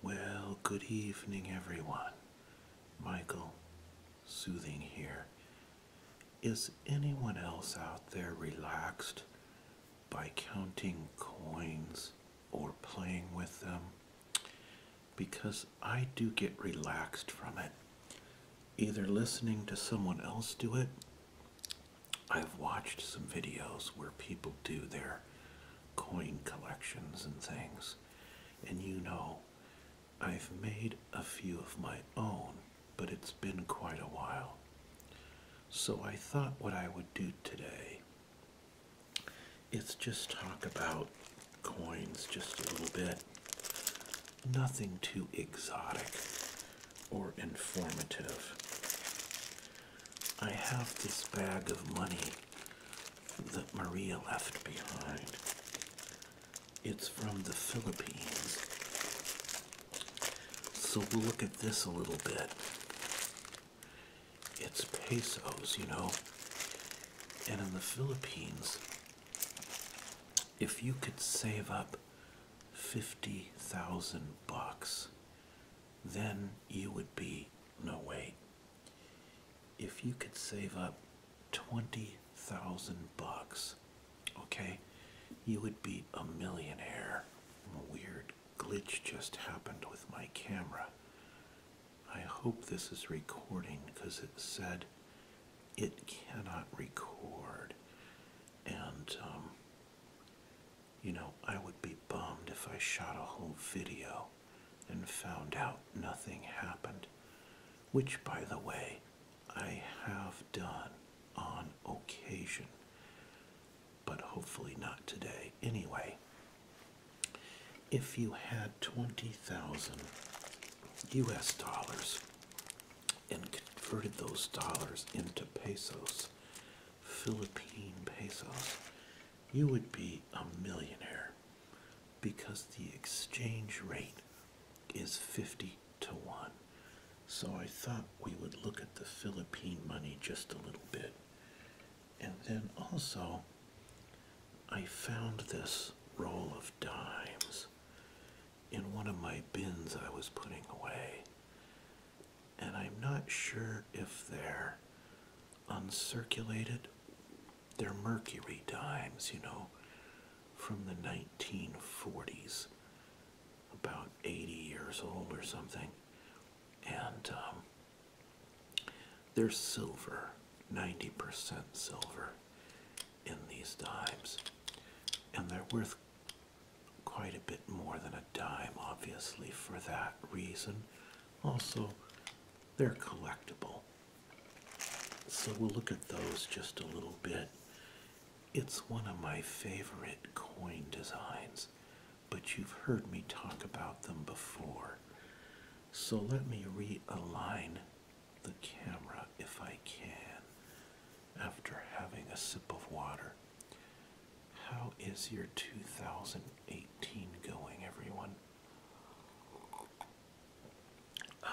Well, good evening, everyone. Michael, soothing here. Is anyone else out there relaxed by counting coins or playing with them? Because I do get relaxed from it. Either listening to someone else do it, I've watched some videos where people do their coin collections and things. And you know, I've made a few of my own, but it's been quite a while. So I thought what I would do today It's just talk about coins just a little bit. Nothing too exotic or informative. I have this bag of money that Maria left behind. It's from the Philippines. So we'll look at this a little bit. It's pesos, you know. And in the Philippines, if you could save up 50,000 bucks, then you would be, no way if you could save up 20,000 bucks, okay, you would be a millionaire. A weird glitch just happened with my camera. I hope this is recording because it said it cannot record. And, um, you know, I would be bummed if I shot a whole video and found out nothing happened, which, by the way, I have done on occasion, but hopefully not today. Anyway, if you had 20,000 US dollars and converted those dollars into pesos, Philippine pesos, you would be a millionaire because the exchange rate is 50 to 1. So I thought we would look at the Philippine money just a little bit. And then also, I found this roll of dimes in one of my bins I was putting away. And I'm not sure if they're uncirculated. They're mercury dimes, you know, from the 1940s, about 80 years old or something. And um, they're silver, 90% silver in these dimes. And they're worth quite a bit more than a dime, obviously, for that reason. Also, they're collectible. So we'll look at those just a little bit. It's one of my favorite coin designs, but you've heard me talk about them before. So let me realign the camera if I can after having a sip of water. How is your 2018 going, everyone? Uh,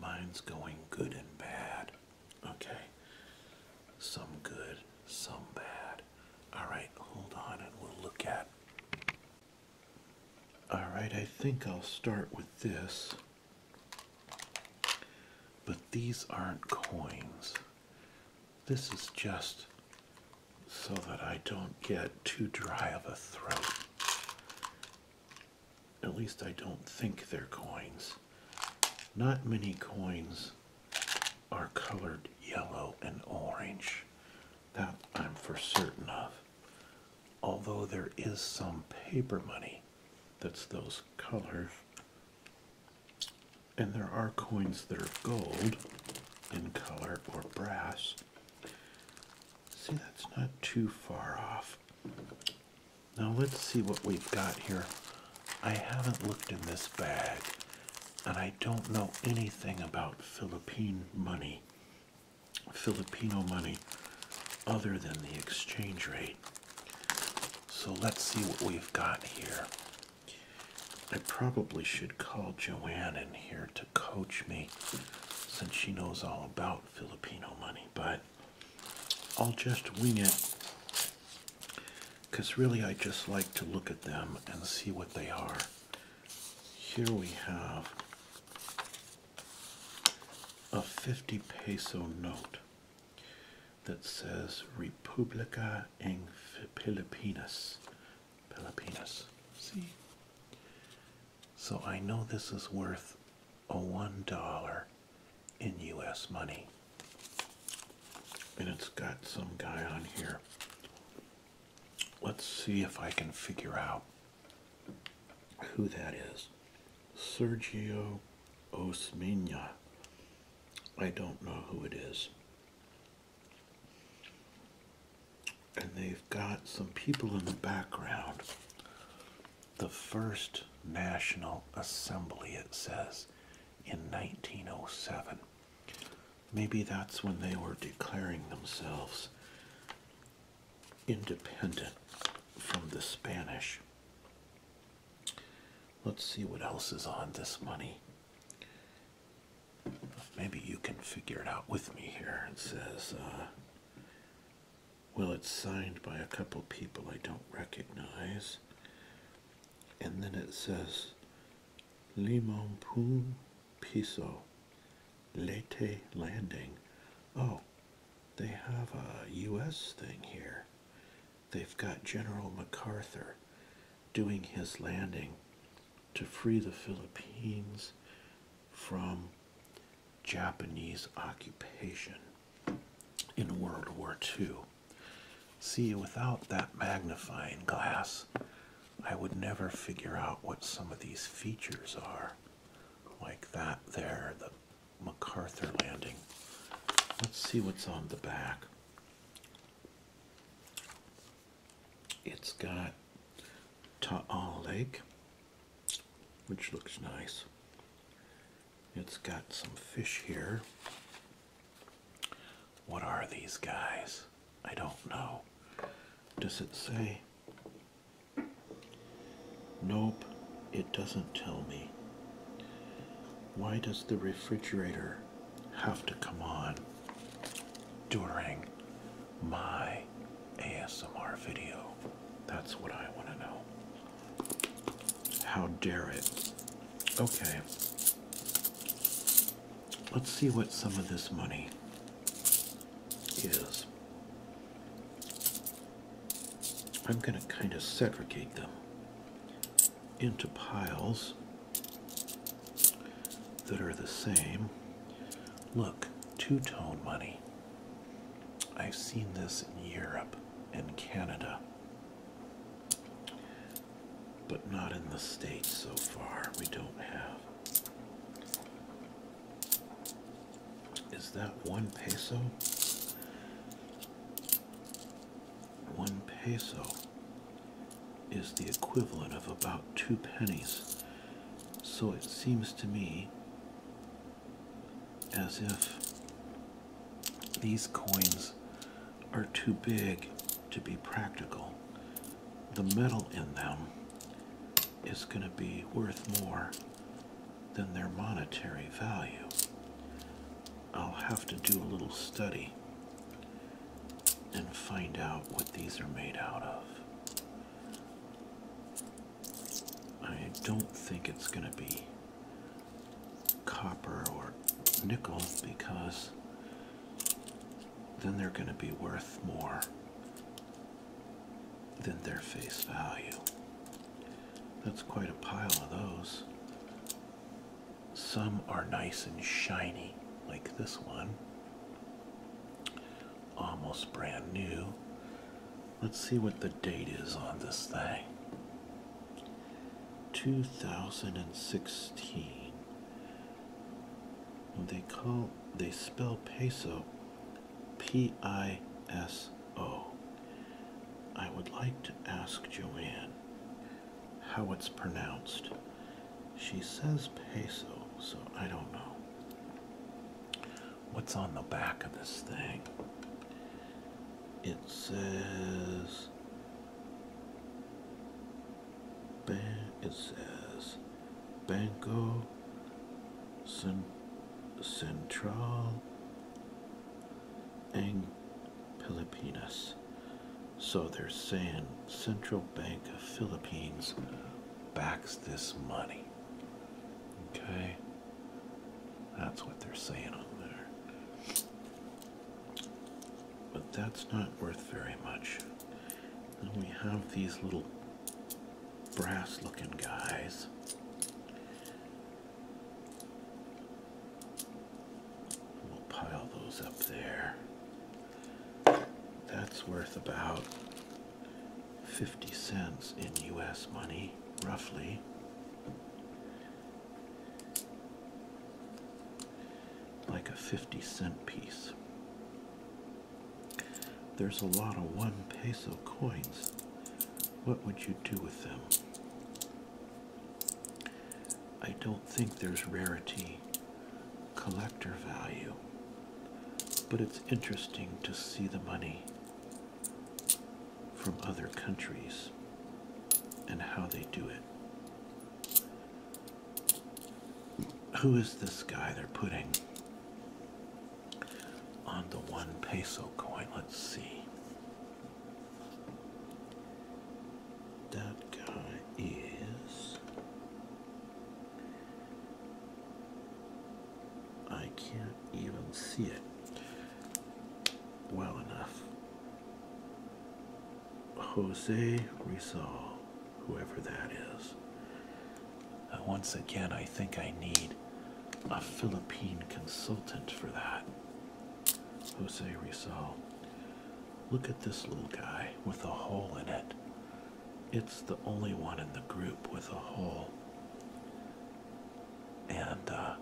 mine's going good and bad. Okay. Some good, some bad. Alright, hold on and we'll look at. Alright, I think I'll start with this. But these aren't coins. This is just so that I don't get too dry of a throat. At least I don't think they're coins. Not many coins are colored yellow and orange. That I'm for certain of. Although there is some paper money that's those colors. And there are coins that are gold in color or brass. See, that's not too far off. Now let's see what we've got here. I haven't looked in this bag, and I don't know anything about Philippine money, Filipino money, other than the exchange rate. So let's see what we've got here. I probably should call Joanne in here to coach me since she knows all about Filipino money, but I'll just wing it because really I just like to look at them and see what they are. Here we have a 50 peso note that says Republica en Filipinas Peloponnes See. So I know this is worth a one dollar in US money. And it's got some guy on here. Let's see if I can figure out who that is. Sergio Osmina. I don't know who it is. And they've got some people in the background. The first National Assembly, it says, in 1907. Maybe that's when they were declaring themselves independent from the Spanish. Let's see what else is on this money. Maybe you can figure it out with me here. It says, uh, well, it's signed by a couple people I don't recognize. And then it says, Limon Poon Piso, Leyte Landing. Oh, they have a U.S. thing here. They've got General MacArthur doing his landing to free the Philippines from Japanese occupation in World War II. See, without that magnifying glass, I would never figure out what some of these features are, like that there, the MacArthur Landing. Let's see what's on the back. It's got Ta'al Lake, which looks nice. It's got some fish here. What are these guys? I don't know. Does it say? Nope, it doesn't tell me. Why does the refrigerator have to come on during my ASMR video. That's what I want to know. How dare it? Okay. Let's see what some of this money is. I'm going to kind of segregate them into piles that are the same. Look, two tone money. I've seen this in Europe and Canada, but not in the States so far. We don't have. Is that one peso? One peso is the equivalent of about two pennies. So it seems to me as if these coins are too big to be practical. The metal in them is going to be worth more than their monetary value. I'll have to do a little study and find out what these are made out of. I don't think it's going to be copper or nickel because then they're going to be worth more than their face value. That's quite a pile of those. Some are nice and shiny, like this one. Almost brand new. Let's see what the date is on this thing. 2016. They call they spell peso P I S O. I would like to ask Joanne how it's pronounced. She says peso, so I don't know. What's on the back of this thing? It says. It says Banco Central and Pilipinas. So they're saying Central Bank of Philippines backs this money. Okay? That's what they're saying on there. But that's not worth very much. And we have these little brass looking guys. We'll pile those up there. That's worth about 50 cents in US money, roughly. Like a 50 cent piece. There's a lot of one peso coins. What would you do with them? I don't think there's rarity collector value, but it's interesting to see the money from other countries and how they do it. Who is this guy they're putting on the one peso coin? Let's see that guy is I can't even see it well enough. Jose Rizal, whoever that is. Uh, once again, I think I need a Philippine consultant for that. Jose Rizal. Look at this little guy with a hole in it. It's the only one in the group with a hole. And uh,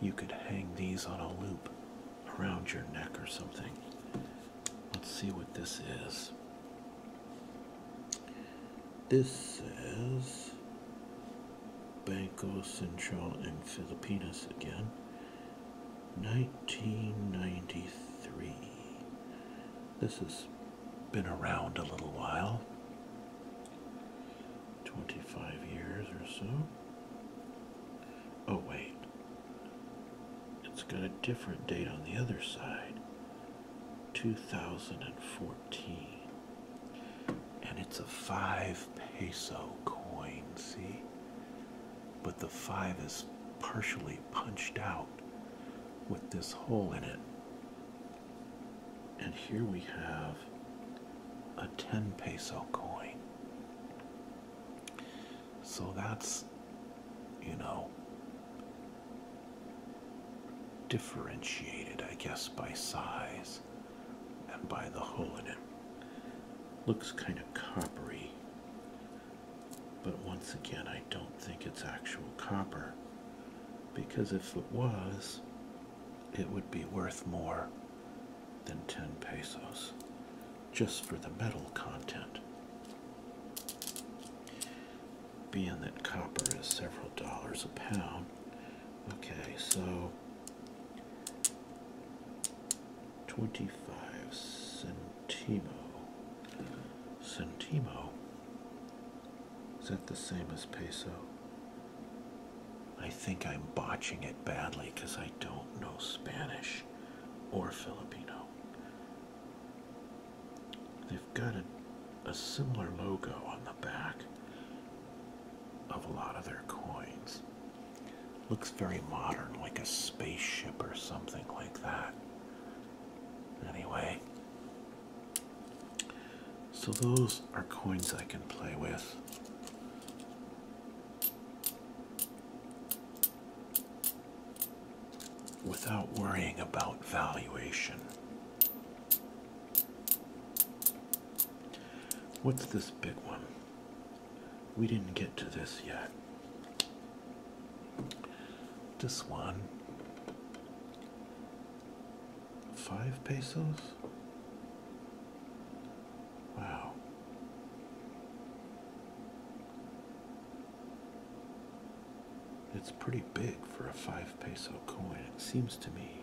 you could hang these on a loop around your neck or something. Let's see what this is. This says Banco Central in Filipinas again. 1993. This has been around a little while 25 years or so. Oh, wait, it's got a different date on the other side 2014. And it's a five peso coin, see? but the five is partially punched out with this hole in it. And here we have a 10 peso coin. So that's, you know, differentiated, I guess, by size and by the hole in it. Looks kind of coppery but once again, I don't think it's actual copper because if it was, it would be worth more than 10 pesos just for the metal content. Being that copper is several dollars a pound. Okay, so 25 cents. Centimo. Centimo? Is that the same as peso? I think I'm botching it badly because I don't know Spanish or Filipino. They've got a similar logo on the back of a lot of their coins. Looks very modern, like a spaceship or something like that. Anyway, so those are coins I can play with. Without worrying about valuation. What's this big one? We didn't get to this yet. This one, five pesos. Wow. It's pretty big for a five peso coin, it seems to me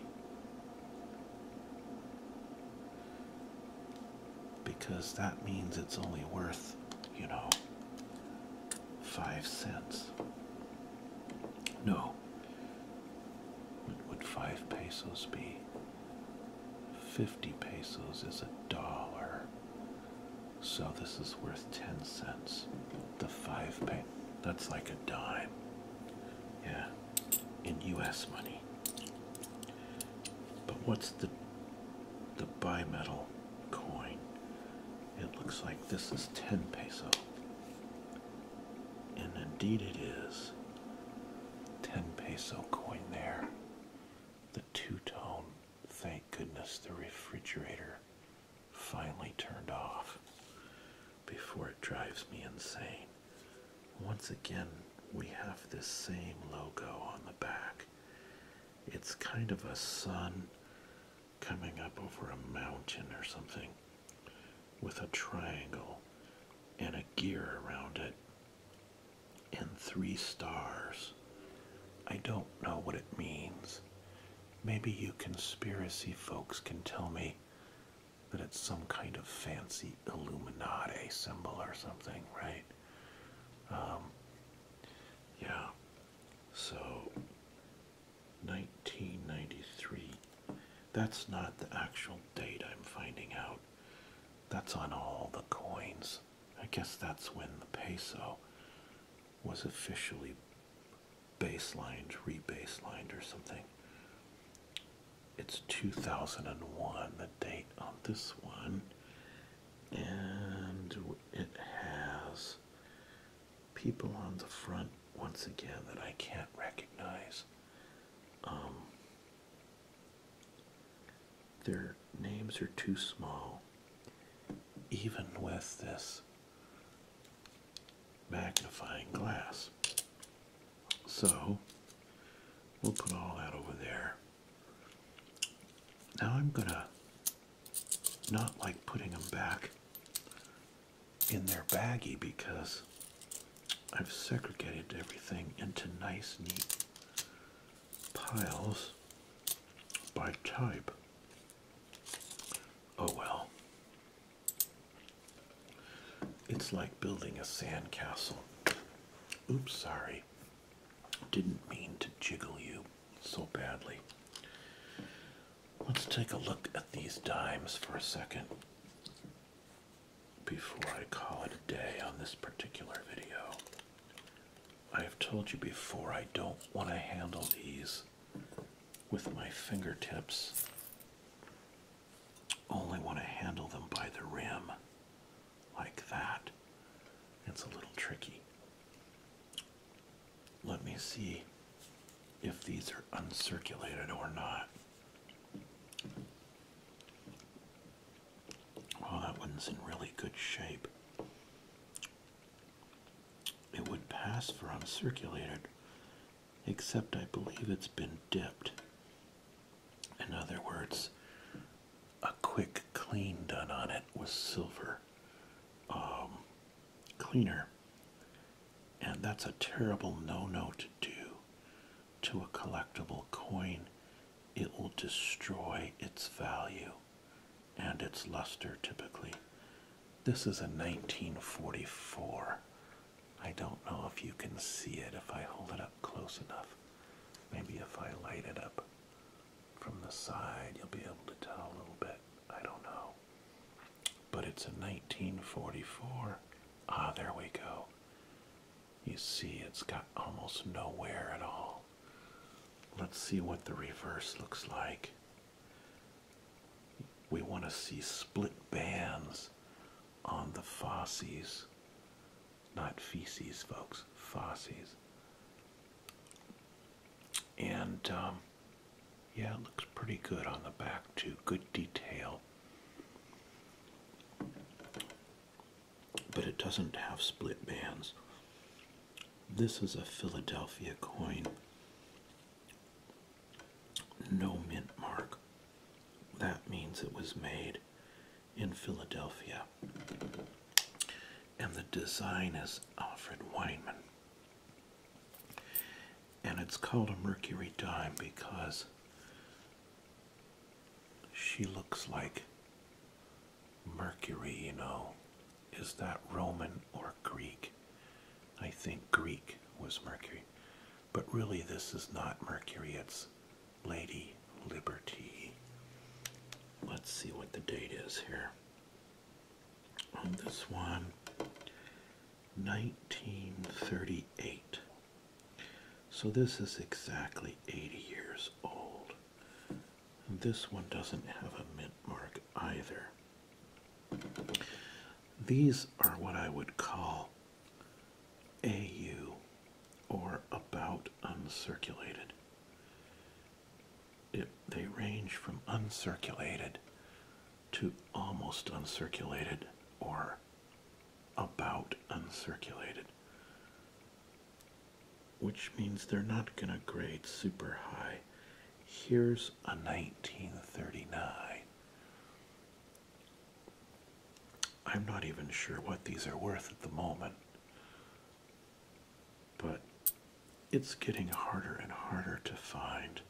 because that means it's only worth, you know, five cents. No. What would five pesos be? Fifty pesos is a dollar. So this is worth ten cents. The five pay that's like a dime. Yeah. In US money. But what's the the bimetal coin. It looks like this is 10 peso. And indeed it is. 10 peso coin there. The two-tone. Thank goodness the refrigerator finally turned off before it drives me insane. Once again, we have this same logo on the back. It's kind of a sun coming up over a mountain or something with a triangle and a gear around it and three stars. I don't know what it means. Maybe you conspiracy folks can tell me that it's some kind of fancy Illuminati symbol or something, right? Um, yeah. So 1993. That's not the actual date I'm finding out. That's on all the coins. I guess that's when the peso was officially baselined, rebaselined, or something. It's 2001, the date on this one. And it has people on the front once again that I can't recognize. Um, their names are too small, even with this magnifying glass. So we'll put all that over there. Now I'm gonna not like putting them back in their baggie because I've segregated everything into nice, neat piles by type. Oh well. It's like building a sandcastle. Oops, sorry. Didn't mean to jiggle you so badly. Let's take a look at these dimes for a second before I call it a day on this particular video. I have told you before I don't want to handle these with my fingertips. Only want to handle them by the rim like that. It's a little tricky. Let me see if these are uncirculated or not. Oh, that one's in really good shape. It would pass for uncirculated, except I believe it's been dipped. In other words, a quick clean done on it with silver um, cleaner. And that's a terrible no no to do to a collectible coin. It will destroy its value and its luster typically. This is a 1944. I don't know if you can see it if I hold it up close enough. Maybe if I light it up from the side, you'll be able to tell a little bit. I don't know. But it's a 1944. Ah, there we go. You see, it's got almost nowhere at all. Let's see what the reverse looks like. We want to see split bands on the fosses. Not feces, folks, fosses. And um, yeah, it looks pretty good on the back too. Good detail. But it doesn't have split bands. This is a Philadelphia coin. No mint mark. That means it was made in Philadelphia and the design is Alfred Weinman. And it's called a Mercury dime because she looks like Mercury, you know. Is that Roman or Greek? I think Greek was Mercury. But really, this is not Mercury, it's Lady Liberty. Let's see what the date is here on this one 1938 so this is exactly 80 years old this one doesn't have a mint mark either these are what i would call au or about uncirculated they range from uncirculated to almost uncirculated or about uncirculated, which means they're not going to grade super high. Here's a 1939. I'm not even sure what these are worth at the moment. But it's getting harder and harder to find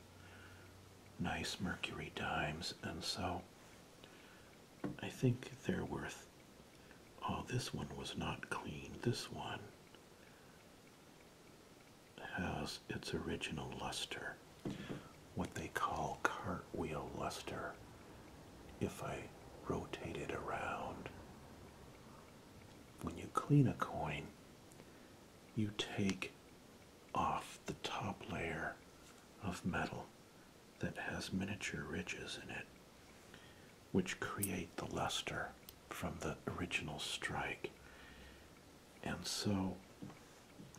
nice mercury dimes, and so I think they're worth. Oh, this one was not clean. This one has its original luster, what they call cartwheel luster. If I rotate it around, when you clean a coin, you take off the top layer of metal that has miniature ridges in it, which create the luster from the original strike. And so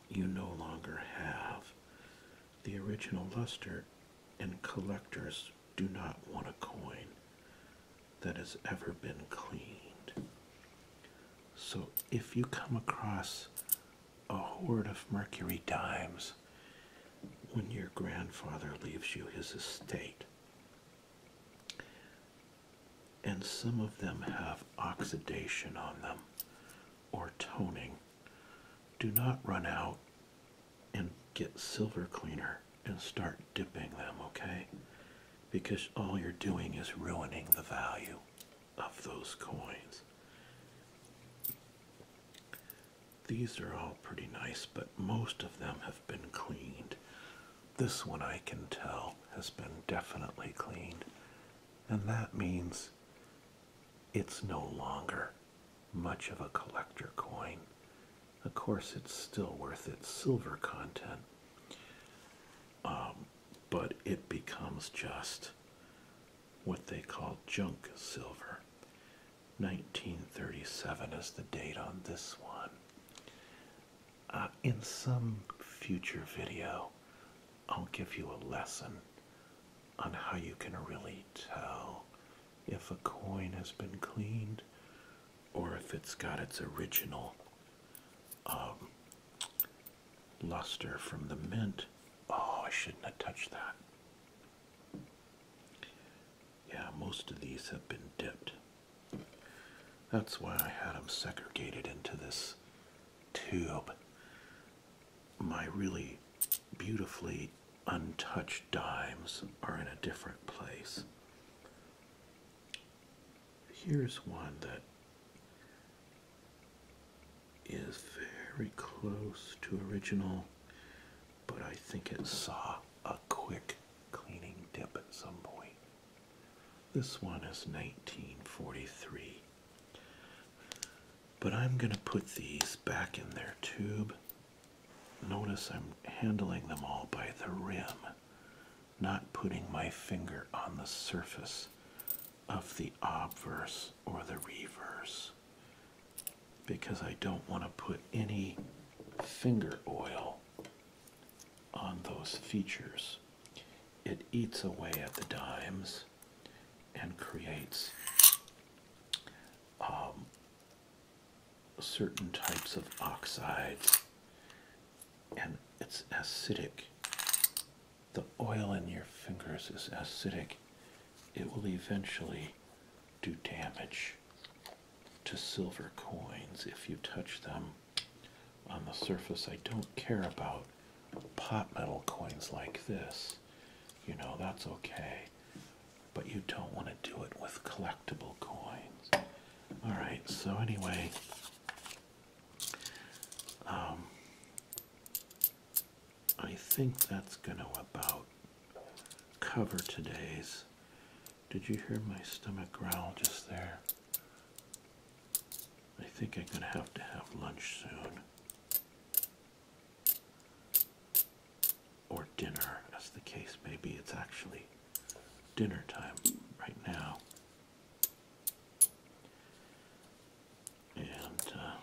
you no longer have the original luster, in collectors do not want a coin that has ever been cleaned. So if you come across a hoard of mercury dimes when your grandfather leaves you his estate, and some of them have oxidation on them or toning, do not run out and get silver cleaner and start dipping them, okay? Because all you're doing is ruining the value of those coins. These are all pretty nice, but most of them have been cleaned. This one I can tell has been definitely cleaned. And that means it's no longer much of a collector coin of course it's still worth its silver content um, but it becomes just what they call junk silver 1937 is the date on this one uh, in some future video i'll give you a lesson on how you can really tell if a coin has been cleaned or if it's got its original um, luster from the mint. Oh, I shouldn't have touched that. Yeah, most of these have been dipped. That's why I had them segregated into this tube. My really beautifully untouched dimes are in a different place here's one that is very close to original, but I think it saw a quick cleaning dip at some point. This one is 1943. But I'm going to put these back in their tube Notice I'm handling them all by the rim, not putting my finger on the surface of the obverse or the reverse because I don't want to put any finger oil on those features. It eats away at the dimes and creates um, certain types of oxides and it's acidic. The oil in your fingers is acidic. It will eventually do damage to silver coins if you touch them on the surface. I don't care about pot metal coins like this. You know, that's okay. But you don't want to do it with collectible coins. All right, so anyway, um, I think that's going to about cover today's. Did you hear my stomach growl just there? I think I'm going to have to have lunch soon. Or dinner, as the case may be. It's actually dinner time right now. And uh,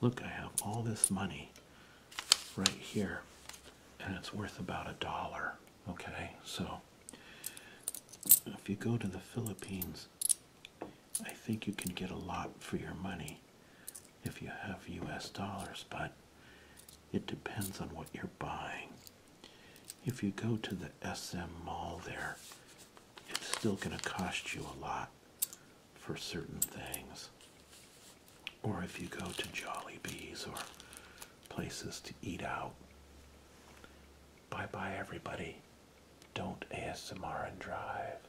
look, I have all this money right here, and it's worth about a dollar. Okay, so if you go to the Philippines, I think you can get a lot for your money if you have US dollars, but it depends on what you're buying. If you go to the SM mall there, it's still going to cost you a lot for certain things. Or if you go to Jolly Bees or places to eat out. Bye bye, everybody. Don't ASMR and drive.